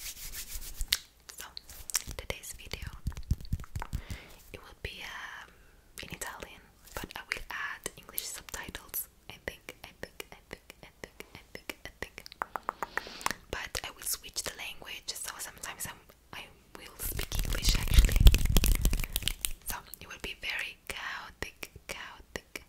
So today's video it will be um, in Italian, but I will add English subtitles. I think, I think, I think, I think, I think, I think. But I will switch the language, so sometimes i I will speak English actually. So it will be very chaotic, chaotic,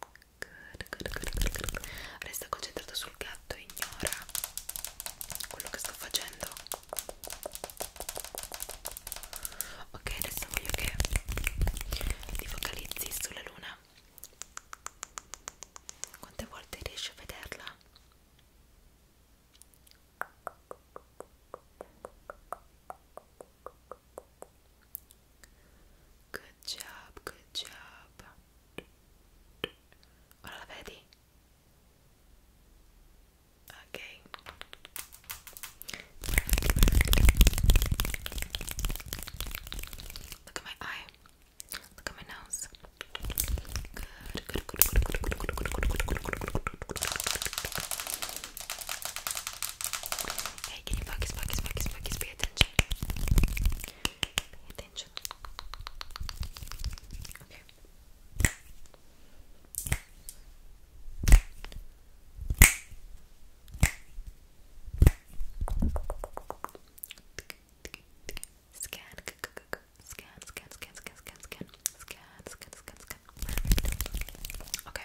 Good, good, good, good, good. Resta concentrato sul gatto e ignora quello che sto facendo. Ok, adesso voglio che ti focalizzi sulla luna. Quante volte riesci a vederla? Good job, good job. Ora la vedi? Ok. Look at my eye. Look at my nose. Hey, can you focus, focus, focus, focus, pay attention. Pay attention. Okay. Scan, scan, scan, scan, scan, scan, scan, scan, scan, scan, scan. Okay.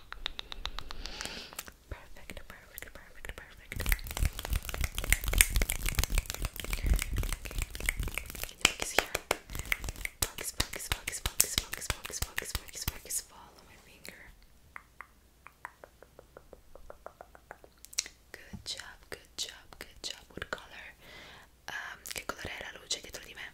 Perfect, perfect, perfect, perfect. Follow my finger. Good job, good job, good job. What color? Um, che colore è la luce dietro me?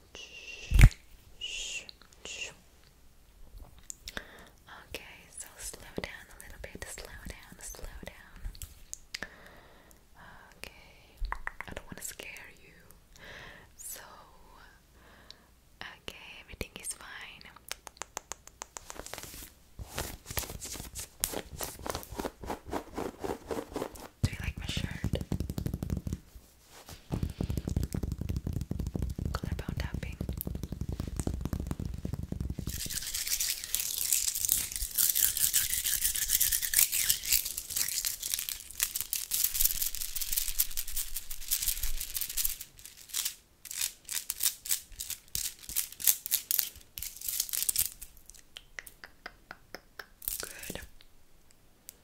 Okay, so slow down a little bit, slow down, slow down. Okay, I don't want to scare you. So, okay, everything is fine. Do you like my shirt? Colorbound tapping. Good.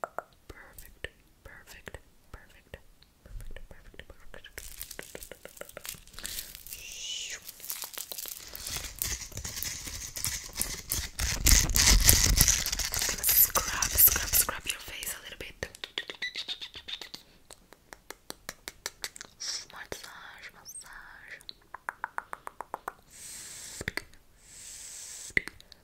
Perfect, perfect, perfect, perfect, perfect, perfect. I'm gonna scrub, scrub, scrub your face a little bit. Massage, massage.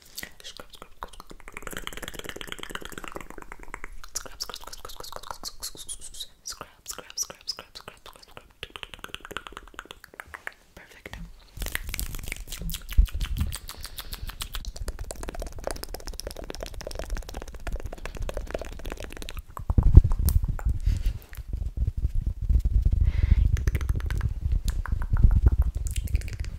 Scrub, scrub, scrub, scrub, scrub, scrub, scrub, scrub, scrub. Perfect.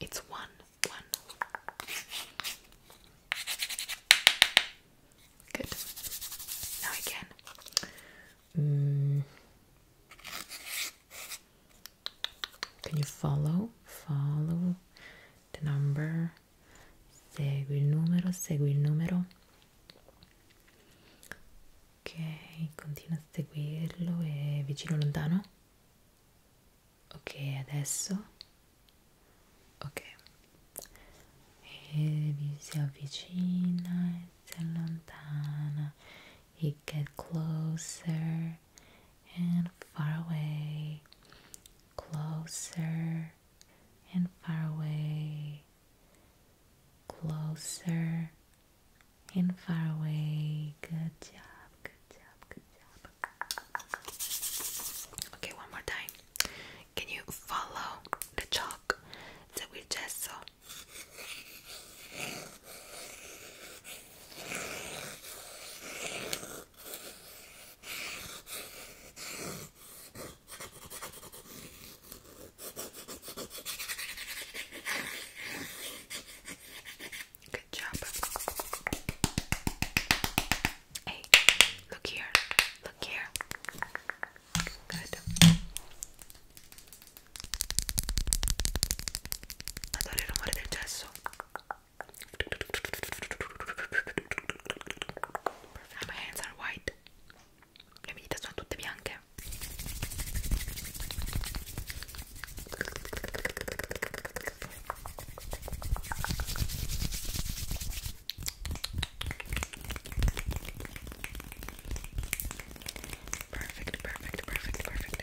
It's one, Good. Now again. Mm. Can you follow? Follow the number. Segui il numero, segui il numero. ok continua a seguirlo e vicino lontano ok adesso ok e vi si avvicina e si allontana e get closer and far away closer and far away closer and far away. Good job, good job, good job. Okay, one more time. Can you follow the chalk that we just saw? Good job. Hey, look here. Look here. Good. Adoro il rumore del gesso. And my hands are white. le mie dita sono tutte bianche perfect perfect perfect perfect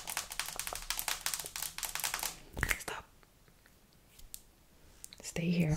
Stop. Stay here.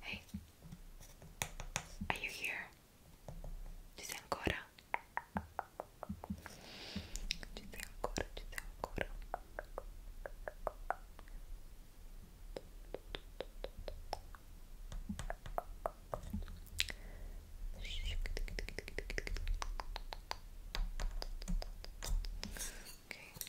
Hey, are you here? Ci sei ancora? Ci sei ancora, ci sei ancora.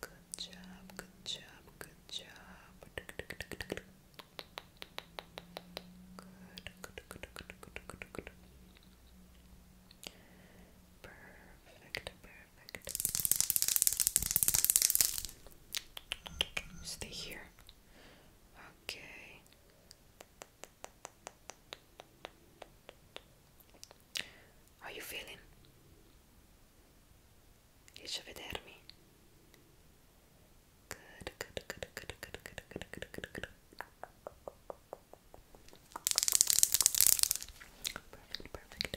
Good job, good job, good job. Perfect, perfect. Stay here. Okay. How you feeling? Riesci a vedermi? Good, good, good, good, good, good, good, good, good, good. Perfect, perfect.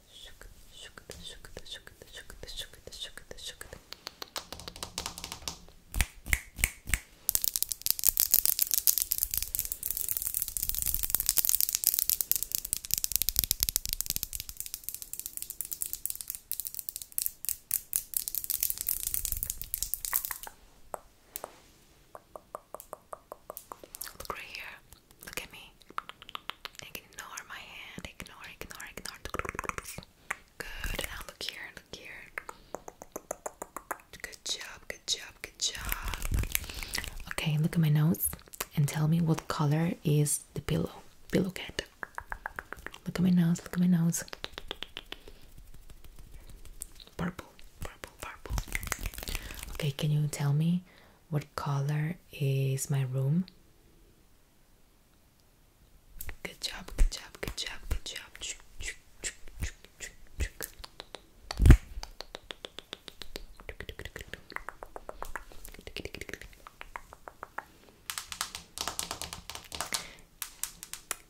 Look right here. Look at me. Ignore my hand. Ignore, ignore, ignore. Good. Now look here. Look here. Good job. Good job. Good job. Okay, look at my nose and tell me what color is the pillow. Pillow cat. Look at my nose. Look at my nose. Purple. Purple. Purple. Okay, can you tell me what color is my room? Good job, good job, good job, good job.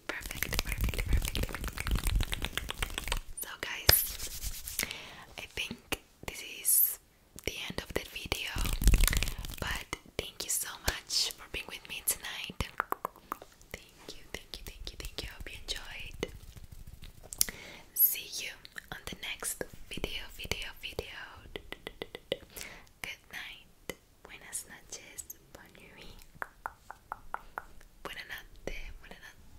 Perfect, perfect, perfect. So, guys, I think this is the end of the video. But thank you so much for being with me tonight. Thank you, thank you, thank you, thank you. hope you enjoyed. See you on the next video, video, video. Good night. Buenas noches. Bon nuit. Buenas noches.